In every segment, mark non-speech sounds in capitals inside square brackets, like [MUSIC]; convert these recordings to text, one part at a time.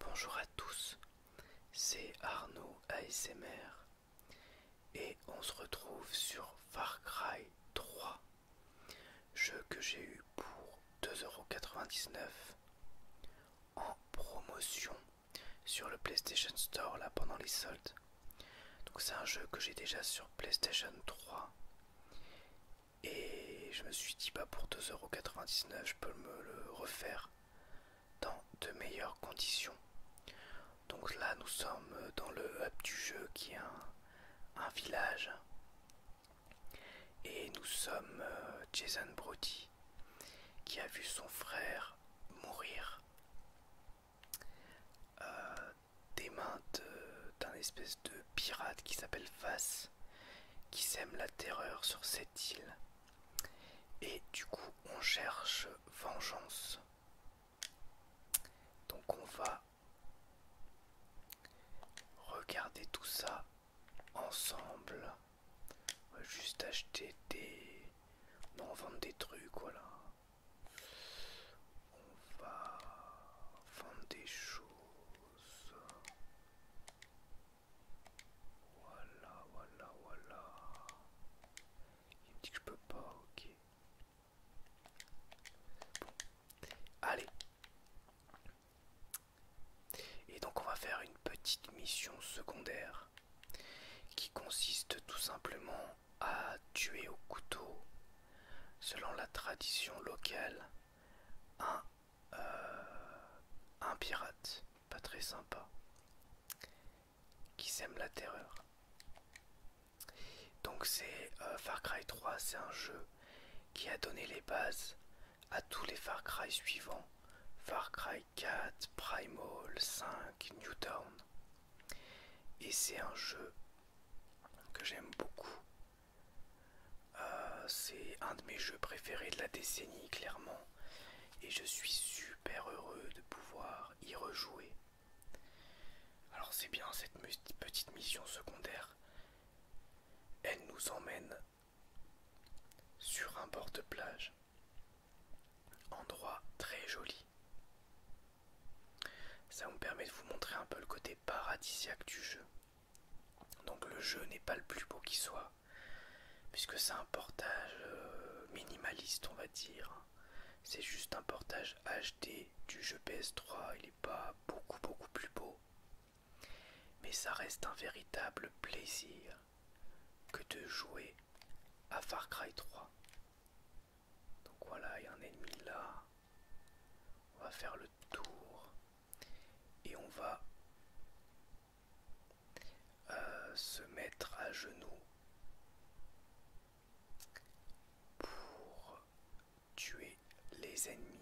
Bonjour à tous, c'est Arnaud ASMR et on se retrouve sur Far Cry 3, jeu que j'ai eu pour 2,99€ en promotion sur le PlayStation Store là pendant les soldes. Donc c'est un jeu que j'ai déjà sur PlayStation 3 et je me suis dit bah pour 2,99€ je peux me le refaire dans de meilleures conditions. Donc là nous sommes dans le hub du jeu qui est un village et nous sommes euh, Jason Brody qui a vu son frère mourir euh, des mains d'un espèce de pirate qui s'appelle Face qui sème la terreur sur cette île. Et du coup, on cherche vengeance. Donc on va regarder tout ça ensemble. On va juste acheter des on va vendre des trucs, voilà. On va vendre des choses. Voilà, voilà, voilà. Il me dit que je peux pas, ok. Bon. Allez. Et donc on va faire une petite mission secondaire qui consiste tout simplement à tuer au couteau, selon la tradition locale, un, euh, pirate, pas très sympa, qui sème la terreur. Donc c'est euh, Far Cry 3, c'est un jeu qui a donné les bases à tous les Far Cry suivants, Far Cry 4, Primal 5, Newtown. Et c'est un jeu que j'aime beaucoup. Euh, c'est un de mes jeux préférés de la décennie, clairement. Et je suis super heureux de pouvoir y rejouer. Alors c'est bien cette petite mission secondaire. Elle nous emmène sur un bord de plage. Endroit très joli. Ça vous permet de vous montrer un peu le côté paradisiaque du jeu. Donc le jeu n'est pas le plus beau qui soit, puisque c'est un portage euh, minimaliste on va dire. C'est juste un portage HD du jeu PS3, il n'est pas beaucoup beaucoup plus beau. Mais ça reste un véritable plaisir que de jouer à Far Cry 3. Donc voilà, il y a un ennemi là. On va faire le tour et on va euh, se mettre à genoux pour tuer les ennemis.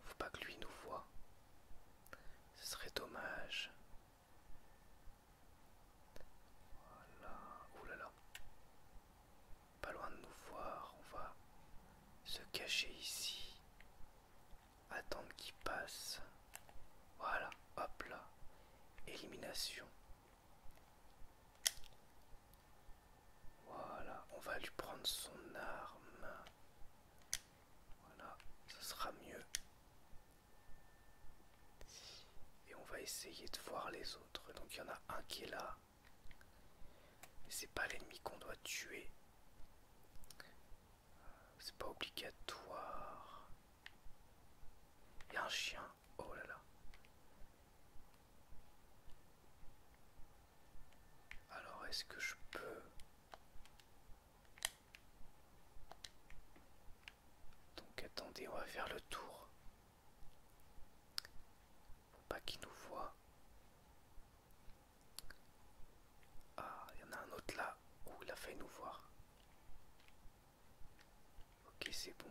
ne Faut pas que lui nous voie. Ce serait dommage. Voilà, oulala. Là là. Pas loin de nous voir, on va se cacher ici. Attendre qu'il passe. Voilà, hop là. Élimination. Voilà, on va lui prendre son arme. Voilà, ce sera mieux. Et on va essayer de voir les autres. Donc il y en a un qui est là. Mais c'est pas l'ennemi qu'on doit tuer. Euh, c'est pas obligatoire. Il y a un chien. Oh là là. Alors est-ce que je peux... Donc attendez, on va faire le tour. faut pas qu'il nous voit. Ah, il y en a un autre là. où il a failli nous voir. Ok, c'est bon.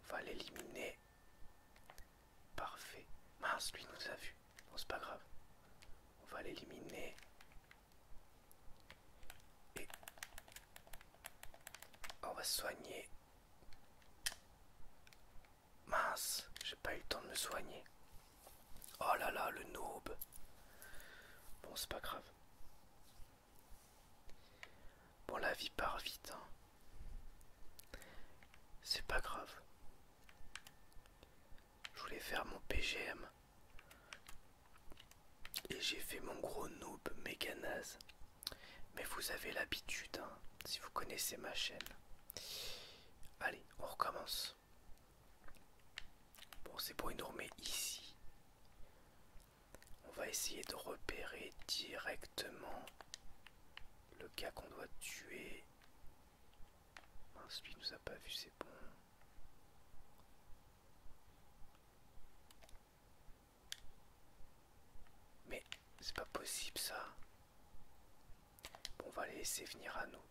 On va l'éliminer. Parfait. Mince, lui nous a vu. Bon, c'est pas grave. On va l'éliminer. Et on va soigner. Mince, j'ai pas eu le temps de me soigner. Oh là là, le noob. Bon, c'est pas grave. Bon, la vie part vite. Hein. C'est pas grave. Je voulais faire mon PGM. Et j'ai fait mon gros noob méga naze. Mais vous avez l'habitude, hein, si vous connaissez ma chaîne. Allez, on recommence. Bon, c'est pour une armée ici. On va essayer de repérer directement le gars qu'on doit tuer ensuite il nous a pas vu, c'est bon. Mais c'est pas possible ça. Bon, on va les laisser venir à nous.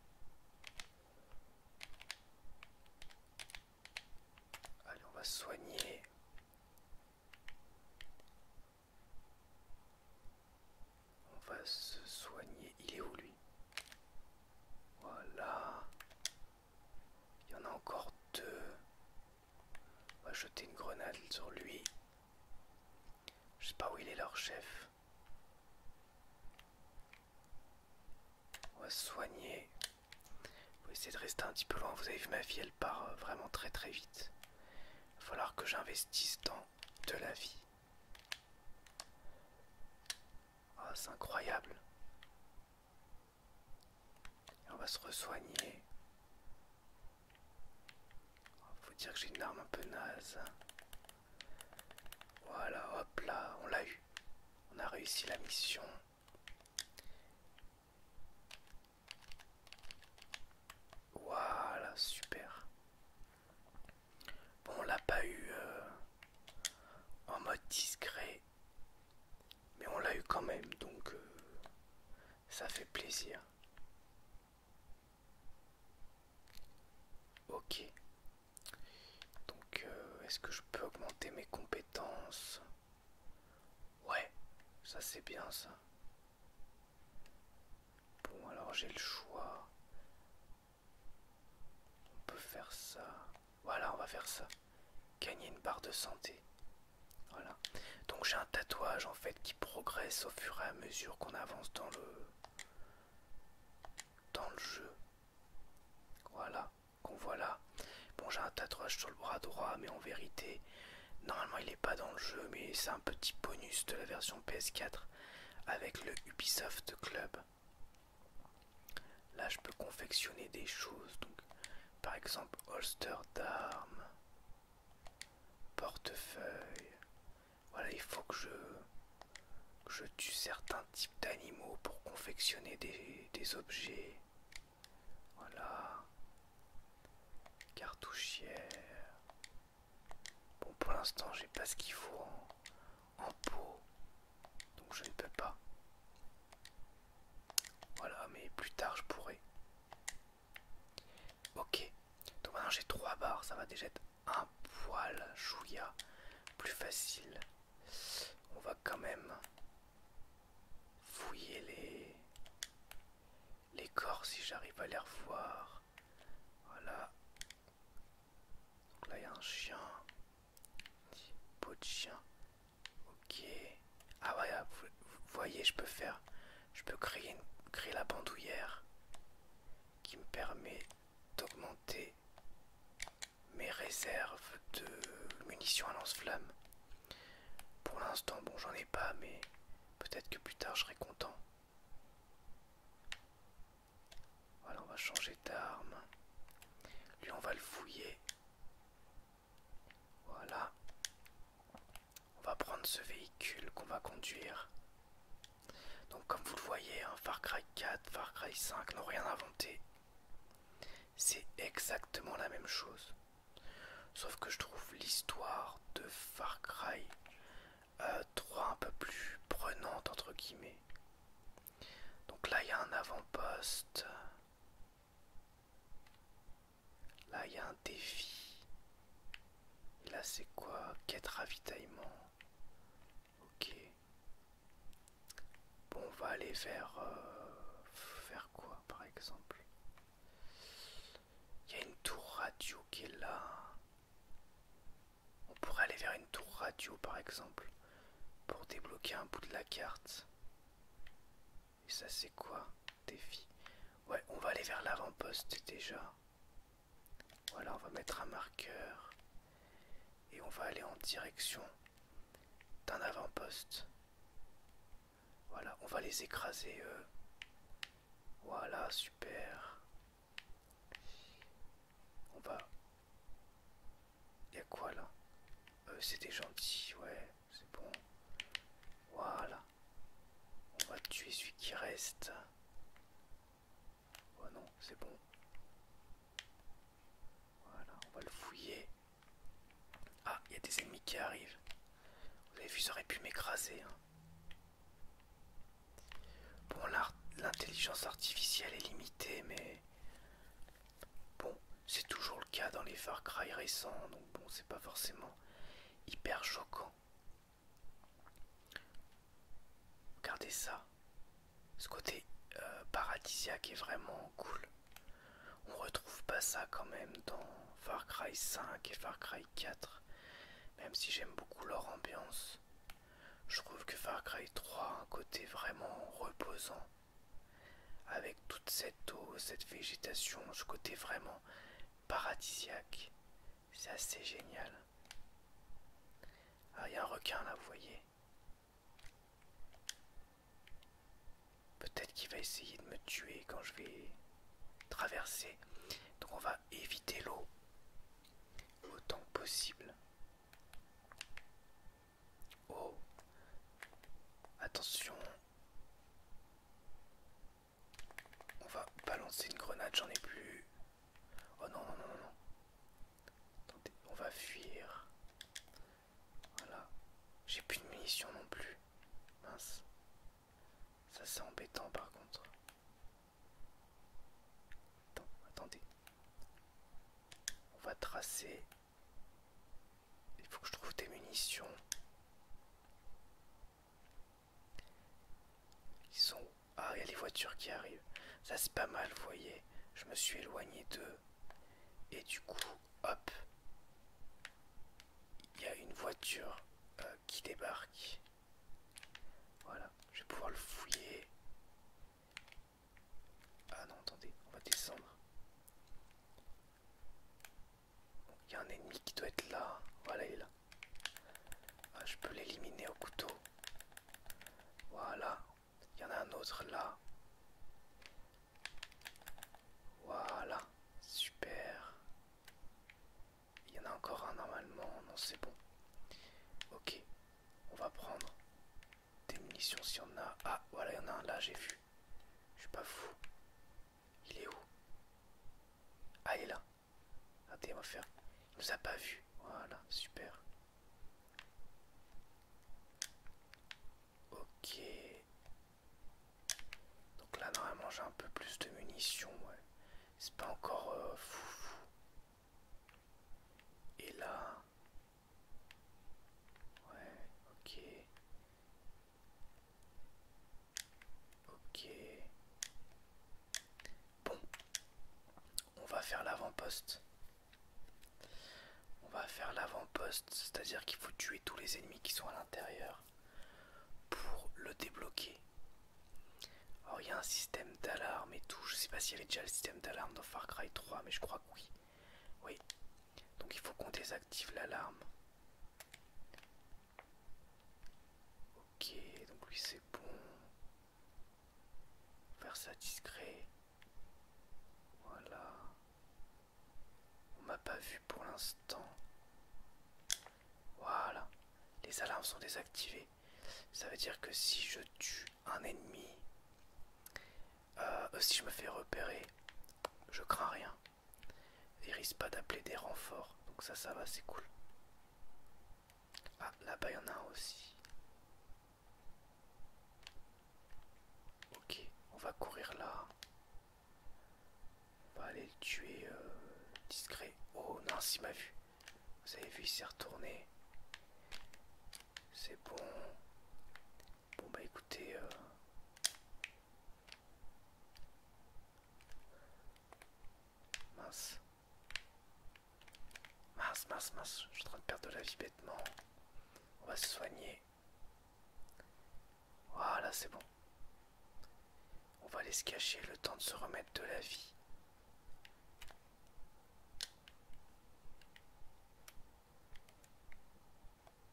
Allez, on va soigner. On va se soigner. Il est où lui Voilà. Il y en a encore deux. On va jeter une grenade sur lui. Je sais pas où il est leur chef. On va se soigner. va essayer de rester un petit peu loin. Vous avez vu ma fille elle part euh, vraiment très très vite. Il va falloir que j'investisse tant de la vie. Oh, c'est incroyable. on va se ressoigner. Oh, faut dire que j'ai une arme un peu naze. Voilà, hop là, on l'a eu. On a réussi la mission. Voilà, super. Bon, on l'a pas eu euh, en mode discret, mais on l'a eu quand même, donc euh, ça fait plaisir. Ok. Donc, euh, est-ce que je peux augmenter mes compétences Ouais, ça c'est bien ça. Bon, alors j'ai le choix. On peut faire ça. Voilà, on va faire ça. Gagner une barre de santé. Voilà. Donc j'ai un tatouage en fait qui progresse au fur et à mesure qu'on avance dans le dans le jeu. Voilà, qu'on voit là. Bon, j'ai un tatouage sur le bras droit, mais en vérité, normalement il est pas dans le jeu, mais c'est un petit bonus de la version PS4 avec le Ubisoft Club. Là, je peux confectionner des choses, donc par exemple holster d'armes, portefeuille. Voilà, il faut que je, je tue certains types d'animaux pour confectionner des, des objets. Voilà, cartouchière. Bon, pour l'instant, j'ai pas ce qu'il faut en, pot, donc je ne peux pas. Voilà, mais plus tard, je pourrai. Ok, donc maintenant j'ai trois barres, ça va déjà être un poil chouïa plus facile. On va quand même fouiller les, les corps si j'arrive à les revoir. Voilà. Donc là, il y a un chien. Petit de chien. Ok. Ah, ah voilà, vous, voyez, je peux faire. Je peux créer, la bandoulière qui me permet d'augmenter mes réserves de munitions à lance flammes Pour l'instant, bon, j'en ai pas, mais peut-être que plus tard je serai content. Voilà, on va changer d'arme. Lui, on va le fouiller. Voilà. On va prendre ce véhicule qu'on va conduire. Donc comme vous le voyez, hein, Far Cry 4, Far Cry 5 n'ont rien inventé. C'est exactement la même chose. Sauf que je trouve l'histoire de Far Cry 3 euh, trois un peu plus prenantes entre guillemets. Donc là il y a un avant-poste. Là il y a un défi. Et là c'est quoi Quête ravitaillement. Ok. Bon on va aller vers... vers euh, quoi par exemple il y a une tour radio qui est là. On pourrait aller vers une tour radio par exemple pour débloquer un bout de la carte. Et ça c'est quoi Défi. Ouais, on va aller vers l'avant-poste déjà. Voilà, on va mettre un marqueur. Et on va aller en direction d'un avant-poste. Voilà, on va les écraser eux. Voilà, super. On va... a quoi là euh, C'était gentil, ouais, c'est bon. Voilà. On va tuer celui qui reste. Oh non, c'est bon. Voilà, on va le fouiller. Ah, il y a des ennemis qui arrivent. Vous avez vu, ça aurait pu m'écraser. Hein. Bon, l'intelligence artificielle est limitée, mais bon, c'est toujours le cas dans les Far Cry récents, donc bon, c'est pas forcément hyper choquant. Regardez ça, ce côté euh, paradisiaque est vraiment cool. On retrouve pas ça quand même dans Far Cry 5 et Far Cry 4, même si j'aime beaucoup leur ambiance, je trouve que Far Cry 3 a un côté vraiment reposant. Avec toute cette eau, cette végétation, ce côté vraiment paradisiaque. C'est assez génial. Ah, il y a un requin là, vous voyez. Peut-être qu'il va essayer de me tuer quand je vais traverser. Donc on va éviter l'eau autant possible. Oh, attention. On va balancer une grenade, j'en ai plus. Oh non, non, non, non. on va fuir. Voilà. J'ai plus de munitions non plus. Mince. Ça c'est embêtant par contre. attendez. On va tracer. Il faut que je trouve des munitions. Ils sont Ah, il y a les voitures qui arrivent. Ça c'est pas mal, vous voyez. Je me suis éloigné d'eux. Et du coup, hop. Il y a une voiture euh, qui débarque. Voilà, je vais pouvoir le fouiller. Ah non, attendez, on va descendre. Il y a un ennemi qui doit être là. Voilà, il est là. Ah, je peux l'éliminer au couteau. Voilà, il y en a un autre là. Voilà, super. Il y en a encore un normalement, non c'est bon. Ok, on va prendre des munitions si on a. Ah voilà, il y en a un là, j'ai vu. Je suis pas fou. Il est où Ah, il est là. Attendez, on va faire. Il nous a pas vu. Voilà, super. Ok. Donc là normalement j'ai un peu plus de munitions, C'est pas encore euh, fou. Et là... Ouais, ok. Ok. Bon. On va faire l'avant-poste. On va faire l'avant-poste, c'est-à-dire qu'il faut tuer tous les ennemis qui sont à l'intérieur pour le débloquer alors il y a un système d'alarme et tout je sais pas s'il y avait déjà le système d'alarme dans Far Cry 3 mais je crois que oui oui donc il faut qu'on désactive l'alarme ok donc lui c'est bon faire ça discret voilà on m'a pas vu pour l'instant. Voilà. Les alarmes sont désactivées. Ça veut dire que si je tue un ennemi, euh, si je me fais repérer, je crains rien. Il risque pas d'appeler des renforts. Donc ça, ça va, c'est cool. Ah, là-bas, il y en a un aussi. Ok, on va courir là. On va aller le tuer euh, discret. Oh non, il m'a vu. Vous avez vu, il s'est retourné. C'est bon. Bon bah écoutez... Euh, mince. Mince, mince, mince. Je suis en train de perdre de la vie bêtement. On va se soigner. Voilà, c'est bon. On va aller se cacher le temps de se remettre de la vie.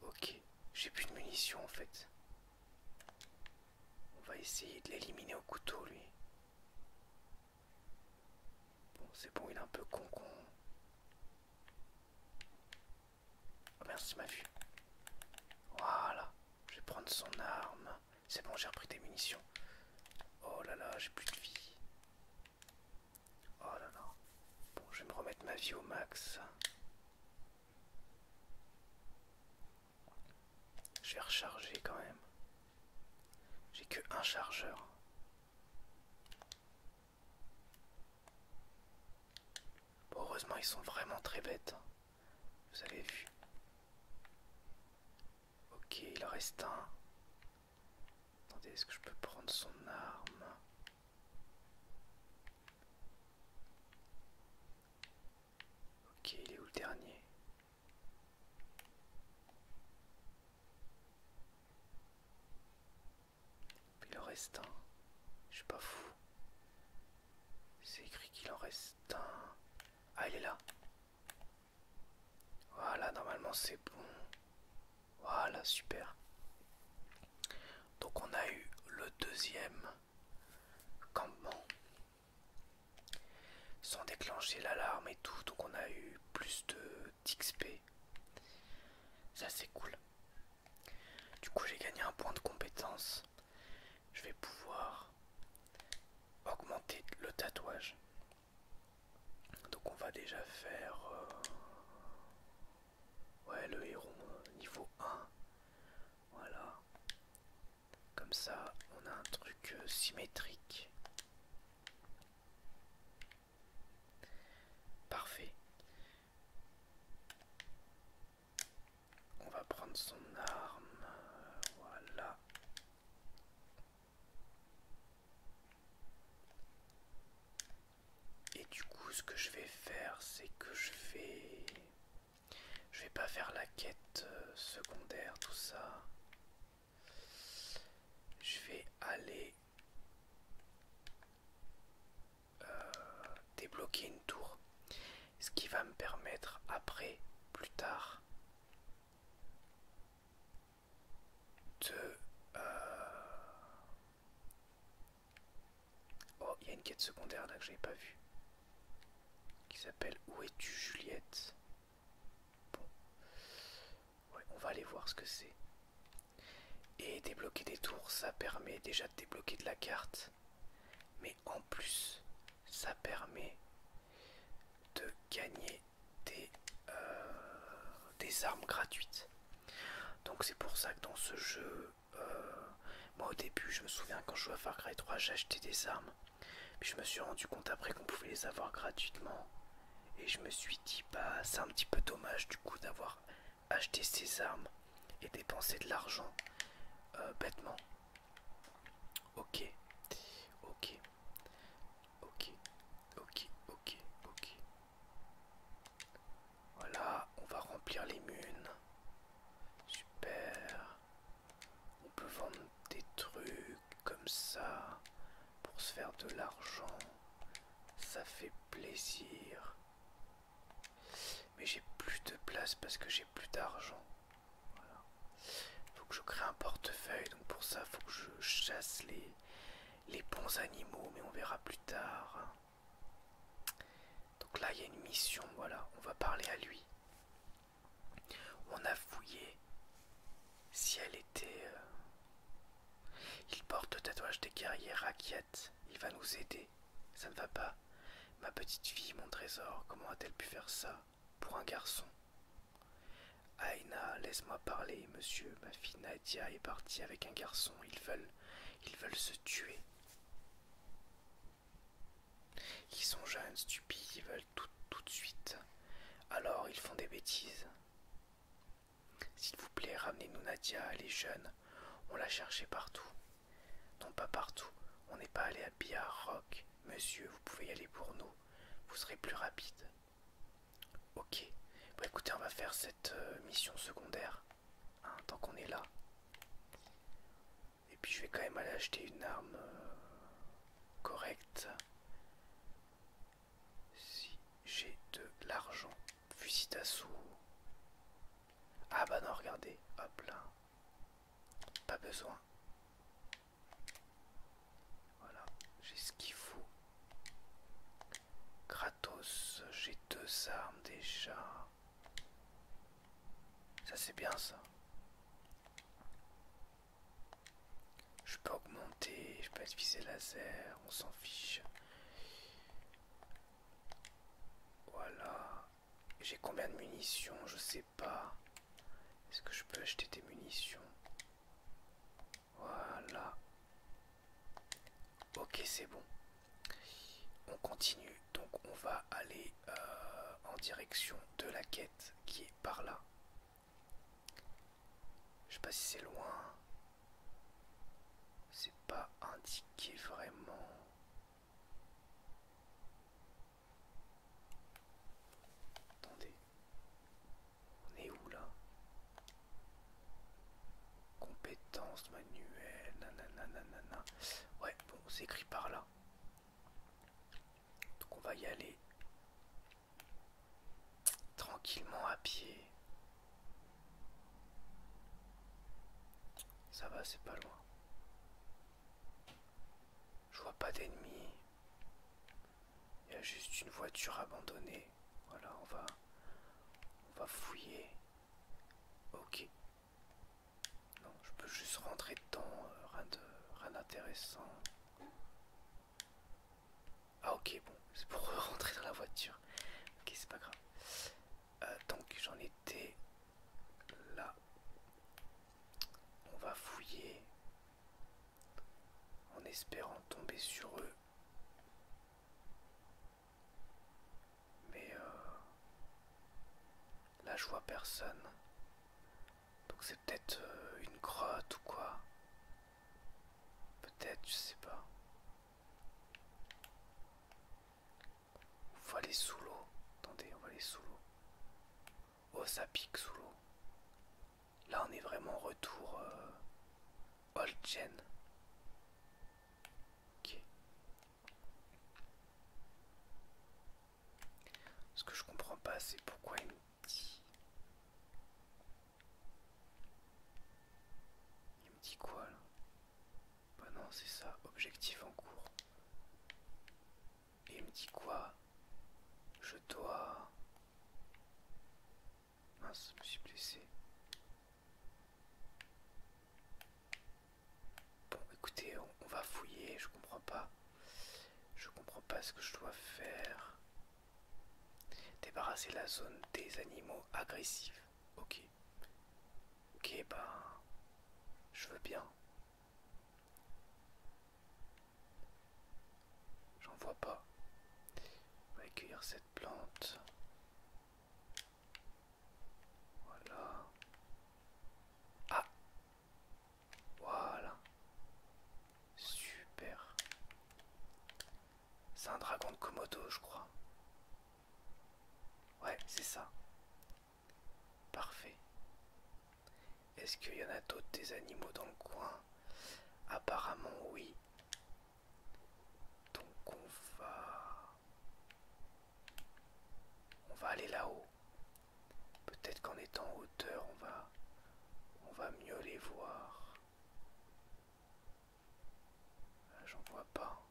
Ok, j'ai plus de munitions en fait. On va essayer de l'éliminer au couteau lui. Bon, c'est bon, il est un peu con con. Oh merci, m'a vue. Voilà. Je vais prendre son arme. C'est bon, j'ai repris des munitions. Oh là là, j'ai plus de vie. Oh là là. Bon, je vais me remettre ma vie au max. Je vais recharger quand même. J'ai que un chargeur. heureusement, ils sont vraiment très bêtes. Vous avez vu. Ok, il en reste un. Attendez, est-ce que je peux prendre son arme Ok, il est où le dernier Il en reste un. Je suis pas fou. C'est écrit qu'il en reste un. Ah, il est là. Voilà, normalement c'est bon. Voilà, super. Donc on a eu le deuxième campement. Sans déclencher l'alarme et tout, donc on a eu plus de d'XP. Ça c'est cool. Du coup j'ai gagné un point de compétence je vais pouvoir augmenter le tatouage. Donc on va déjà faire euh, ouais, le héros niveau 1. Voilà. Comme ça, on a un truc euh, symétrique. Parfait. On va prendre son arme. Voilà. Et du coup, ce que je vais faire, c'est que je vais... Je vais pas faire la quête euh, secondaire, tout ça. Je vais aller euh, débloquer une tour. Ce qui va me permettre après, plus tard, de... Euh, oh, il y a une quête secondaire là que j'avais pas vue. Qui s'appelle Où es-tu Juliette Bon. on va aller voir ce que c'est. Et débloquer des tours, ça permet déjà de débloquer de la carte. Mais en plus ça permet de gagner euh, des, armes gratuites donc c'est pour ça que dans ce jeu euh, moi au début je me souviens quand je jouais à Far Cry 3 j'achetais des armes puis je me suis rendu compte après qu'on pouvait les avoir gratuitement et je me suis dit bah c'est un petit peu dommage du coup d'avoir acheté ces armes et dépenser de l'argent euh, bêtement. Ok, ok, ok, ok, ok, ok. Voilà, on va remplir les munes. Super. On peut vendre des trucs comme ça pour se faire de l'argent. Ça fait plaisir. Mais j'ai plus de place parce que j'ai plus d'argent. Voilà. Faut que je crée un portefeuille, donc pour ça, faut que je chasse les, les bons animaux, mais on verra plus tard. Hein. Donc là, il y a une mission, voilà, on va parler à lui. On a fouillé si elle était... Euh, il porte le tatouage des guerriers inquiète il va nous aider. Ça ne va pas. Ma petite fille, mon trésor, comment a-t-elle pu faire ça pour un garçon Aïna, laisse-moi parler, monsieur. Ma fille Nadia est partie avec un garçon. Ils veulent, ils veulent se tuer. Ils sont jeunes, stupides, ils veulent tout, de suite. Alors ils font des bêtises. S'il vous plaît, ramenez-nous Nadia, elle est jeune. On l'a cherchait partout. Non pas partout, on n'est pas allé à Biarroc, Monsieur, vous pouvez y aller pour nous. Vous serez plus rapide. Ok. Bon écoutez, on va faire cette euh, mission secondaire. Hein, tant qu'on est là. Et puis je vais quand même aller acheter une arme euh, correcte. Si j'ai de l'argent. Fusil d'assaut. Ah bah non, regardez. Hop là. Pas besoin. Voilà, j'ai ce qu'il faut. Kratos, j'ai deux armes déjà. Ça c'est bien ça. Je peux augmenter, je peux utiliser laser, on s'en fiche. Voilà. J'ai combien de munitions Je sais pas. Est-ce que je peux acheter des munitions Voilà. Ok, c'est bon. On continue. Donc on va aller euh, en direction de la quête qui est par là. Je sais pas si c'est loin. C'est pas indiqué vraiment. Attendez. On est où là Compétences manuelles, nanana, nanana. Ouais, bon, c'est écrit par là. Donc on va y aller tranquillement à pied. Ça va, c'est pas loin. Je vois pas d'ennemis. Il y a juste une voiture abandonnée. Voilà, on va on va fouiller. OK. Non, je peux juste rentrer dedans, euh, rien rien d'intéressant. Ah OK, bon, c'est pour [LAUGHS] rentrer dans la voiture. OK, c'est pas grave. Euh, donc j'en étais là. On va fouiller en espérant tomber sur eux. Mais euh, là je vois personne. Donc c'est peut-être euh, une grotte ou quoi. Peut-être, je sais pas. On va aller sous l'eau. Attendez, on va aller sous l'eau. Oh, ça pique sous l'eau. Là, on est vraiment retour euh, old gen. Ok. Ce que je comprends pas, c'est pourquoi il me dit. Il me dit quoi là bah non, c'est ça, objectif en cours. Et il me dit quoi Je dois... Mince, je me suis blessé. Bon, écoutez, on va fouiller, je comprends pas. Je comprends pas ce que je dois faire. Débarrasser la zone des animaux agressifs. Ok. Ok, bah, je veux bien. J'en vois pas. On va cette plante. Voilà. Ah Voilà. Super. C'est un dragon de Komodo, je crois. Ouais, c'est ça. Parfait. Est-ce qu'il y en a d'autres des animaux dans le coin Apparemment oui. Donc on va... On va aller là-haut. Peut-être qu'en étant en hauteur, on va... On va mieux les voir. Ah, j'en vois pas.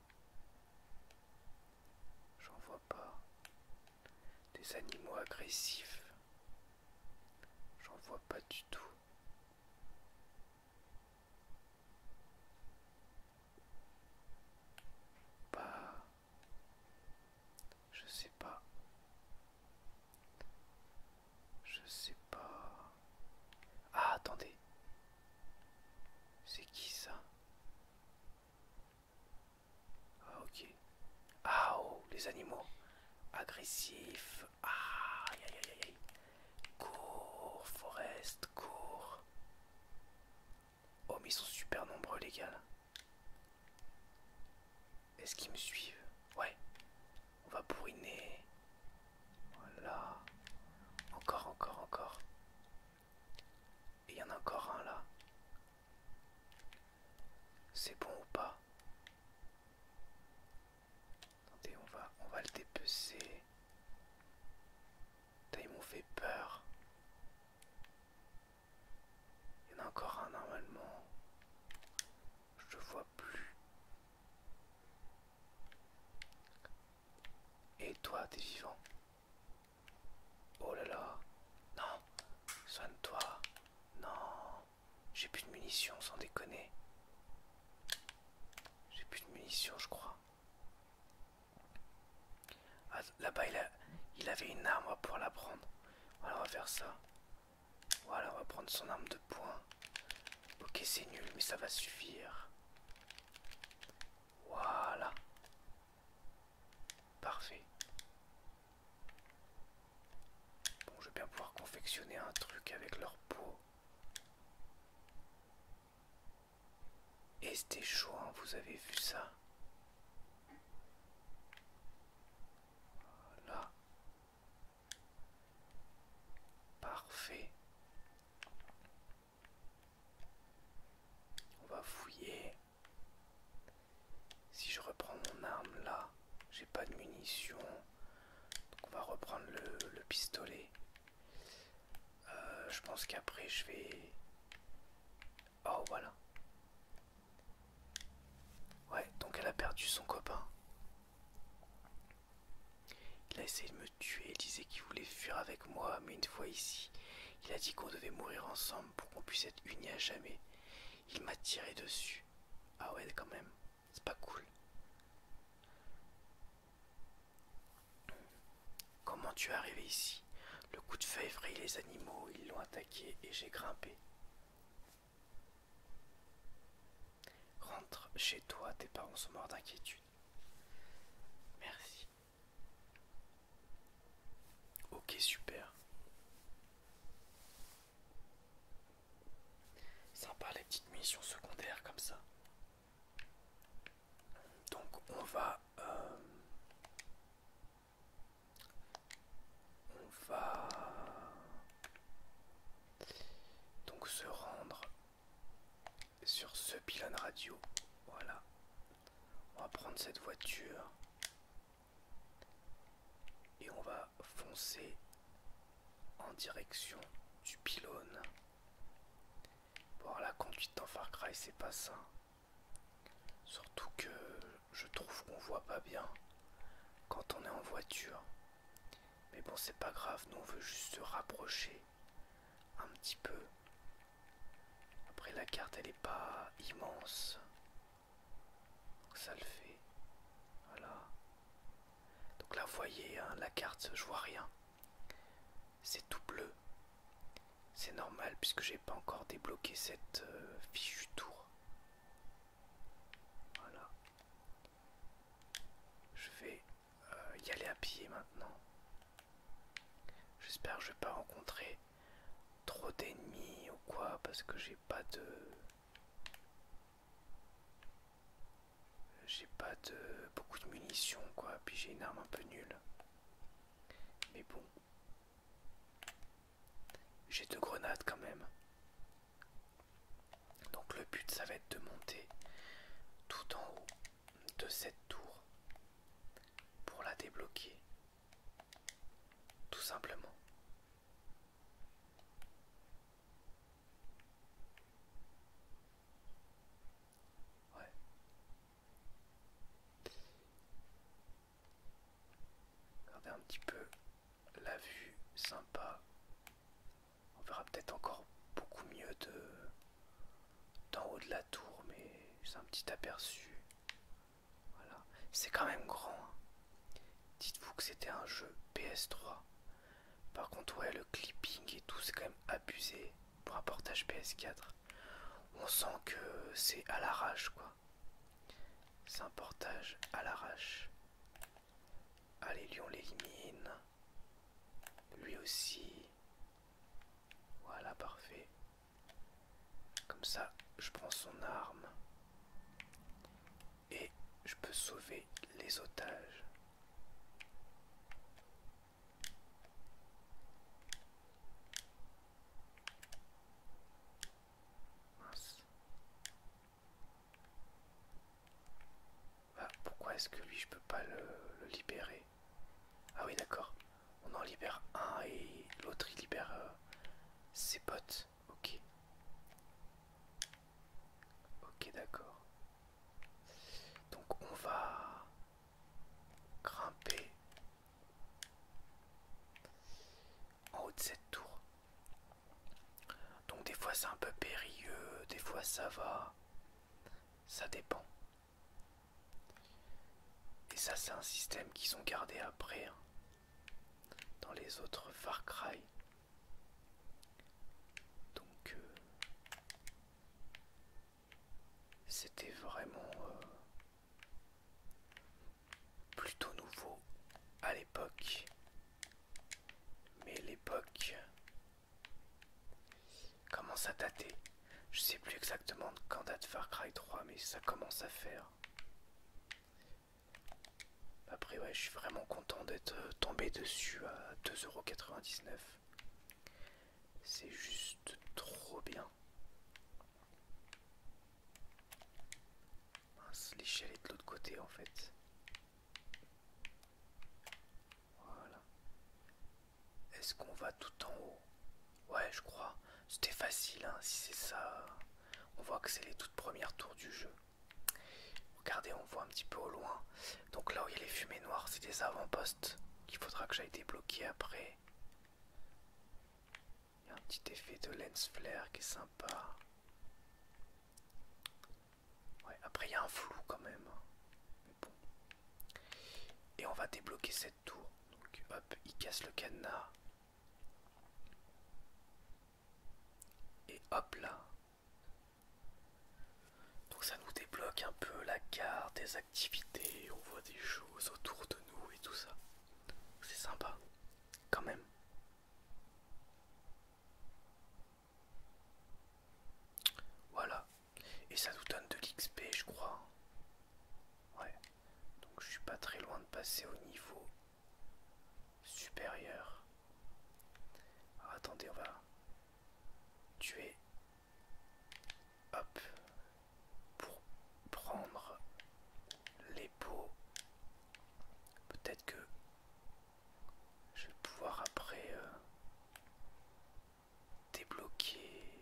J'en vois pas. Des animaux agressifs. J'en vois pas du tout. Pas. Bah, je sais pas. Je sais pas. Ah, attendez. C'est qui ça ah, ok. Ah, oh, les animaux. Agressifs. Ah, aïe, aïe, aïe, aïe. Cours, forest, cours. Oh, mais ils sont super nombreux, les gars. Est-ce qu'ils me suivent Ouais. On va bourriner. Voilà. Encore, encore, encore. Et il y en a encore un là. C'est bon ou pas Attendez, on va, on va le dépecer. ils m'ont fait peur. Il y en a encore un normalement. Je vois plus. Et toi, t'es vivant. Oh là là. Non. Soigne-toi. Non. J'ai plus de munitions, sans déconner. J'ai plus de munitions, je crois. Ah, là-bas, il, a... avait une arme, pour la prendre. Alors on va faire ça. Voilà, on va prendre son arme de poing. Ok, c'est nul, mais ça va suffire. Voilà. Parfait. Bon, je vais bien pouvoir confectionner un truc avec leur peau. Et c'était chaud, hein, vous avez vu ça Voilà. Parfait. On va fouiller. Si je reprends mon arme là, j'ai pas de munitions. on va reprendre le, pistolet. Euh, je pense qu'après je vais... Oh voilà. Ouais, donc elle a perdu son copain. Il a essayé de me tu es Il disait qu'il voulait fuir avec moi, mais une fois ici, il a dit qu'on devait mourir ensemble pour qu'on puisse être unis à jamais. Il m'a tiré dessus. Ah ouais, quand même, c'est pas cool. Comment tu es arrivé ici Le coup de feu a effrayé les animaux, ils l'ont attaqué et j'ai grimpé. Rentre chez toi, tes parents sont morts d'inquiétude. Merci. Ok, super. Sympa les petites missions secondaires comme ça. Donc on va... Euh, on va... Donc se rendre sur ce pylône radio. Voilà. On va prendre cette voiture et on va foncer en direction du pylône. Bon, la conduite en Far Cry, c'est pas ça. Surtout que je trouve qu'on voit pas bien quand on est en voiture. Mais bon, c'est pas grave, nous on veut juste se rapprocher un petit peu. Après la carte elle est pas immense. ça le fait. Voilà. Donc là vous voyez hein, la carte, je vois rien. C'est tout bleu. C'est normal puisque j'ai pas encore débloqué cette euh, fichue tour. Voilà. Je vais euh, y aller à pied maintenant. J'espère que je vais pas rencontrer trop d'ennemis ou quoi parce que j'ai pas de j'ai pas de beaucoup de munitions quoi puis j'ai une arme un peu nulle mais bon j'ai deux grenades quand même donc le but ça va être de monter tout en haut de cette tour pour la débloquer. Tout simplement. Regardez un petit peu la vue sympa. On verra peut-être encore beaucoup mieux de d'en haut de la tour, mais c'est un petit aperçu. Voilà, c'est quand même grand. Hein. Dites-vous que c'était un jeu PS3. Par contre, ouais, le clipping et tout, c'est quand même abusé pour un portage PS4. On sent que c'est à l'arrache, quoi. C'est un portage à l'arrache. Allez, lui, on l'élimine. Lui aussi. Voilà, parfait. Comme ça, je prends son arme. Et je peux sauver les otages. Bah, pourquoi est-ce que lui, je peux pas le libérer ah oui d'accord. On en libère un et l'autre il libère euh, ses potes. Ok. Ok d'accord. Donc on va grimper en haut de cette tour. Donc des fois c'est un peu périlleux, des fois ça va. Ça dépend. Et ça c'est un système qu'ils ont gardé après hein, dans les autres Far Cry. Donc euh, c'était vraiment euh, plutôt nouveau à l'époque. Mais l'époque Commence à dater. Je sais plus exactement quand date Far Cry 3, mais ça commence à faire. Après, ouais, je suis vraiment content d'être euh, tombé dessus à 2,99€. C'est juste trop bien. l'échelle est de l'autre côté en fait. Voilà. Est-ce qu'on va tout en haut Ouais, je crois. C'était facile, hein, si c'est ça. On voit que c'est les toutes premières tours du jeu. Regardez, on voit un petit peu au loin. Donc là où il y a les fumées noires, c'est des avant-postes qu'il faudra que j'aille débloquer après. Il y a un petit effet de lens flare qui est sympa. Ouais, après il y a un flou quand même. Et on va débloquer cette tour. Donc hop, il casse le cadenas. Et hop là. Donc ça nous débloque un peu la carte des activités, on voit des choses autour de nous et tout ça. C'est sympa, quand même. Voilà, et ça nous donne de l'XP je crois. Ouais. Donc je suis pas très loin de passer au niveau supérieur. attendez, on va tuer. Hop. Pour prendre les pots. Peut-être que je vais pouvoir après... Euh, débloquer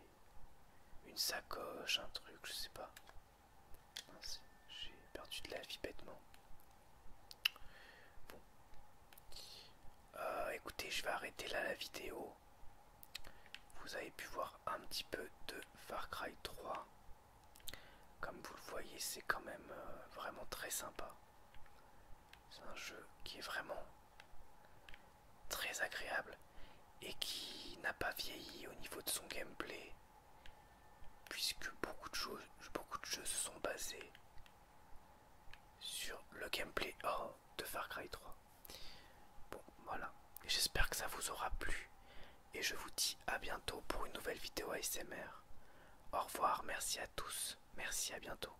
une sacoche, un truc, je sais pas. J'ai perdu de la vie bêtement. Bon. Euh, écoutez, je vais arrêter là la vidéo. Vous avez pu voir un petit peu de Far Cry 3. Comme vous le voyez, c'est quand même euh, vraiment très sympa. C'est un jeu qui est vraiment très agréable et qui n'a pas vieilli au niveau de son gameplay puisque beaucoup de choses beaucoup de jeux se sont basés sur le gameplay de Far Cry 3 bon voilà j'espère que ça vous aura plu et je vous dis à bientôt pour une nouvelle vidéo ASMR au revoir merci à tous merci à bientôt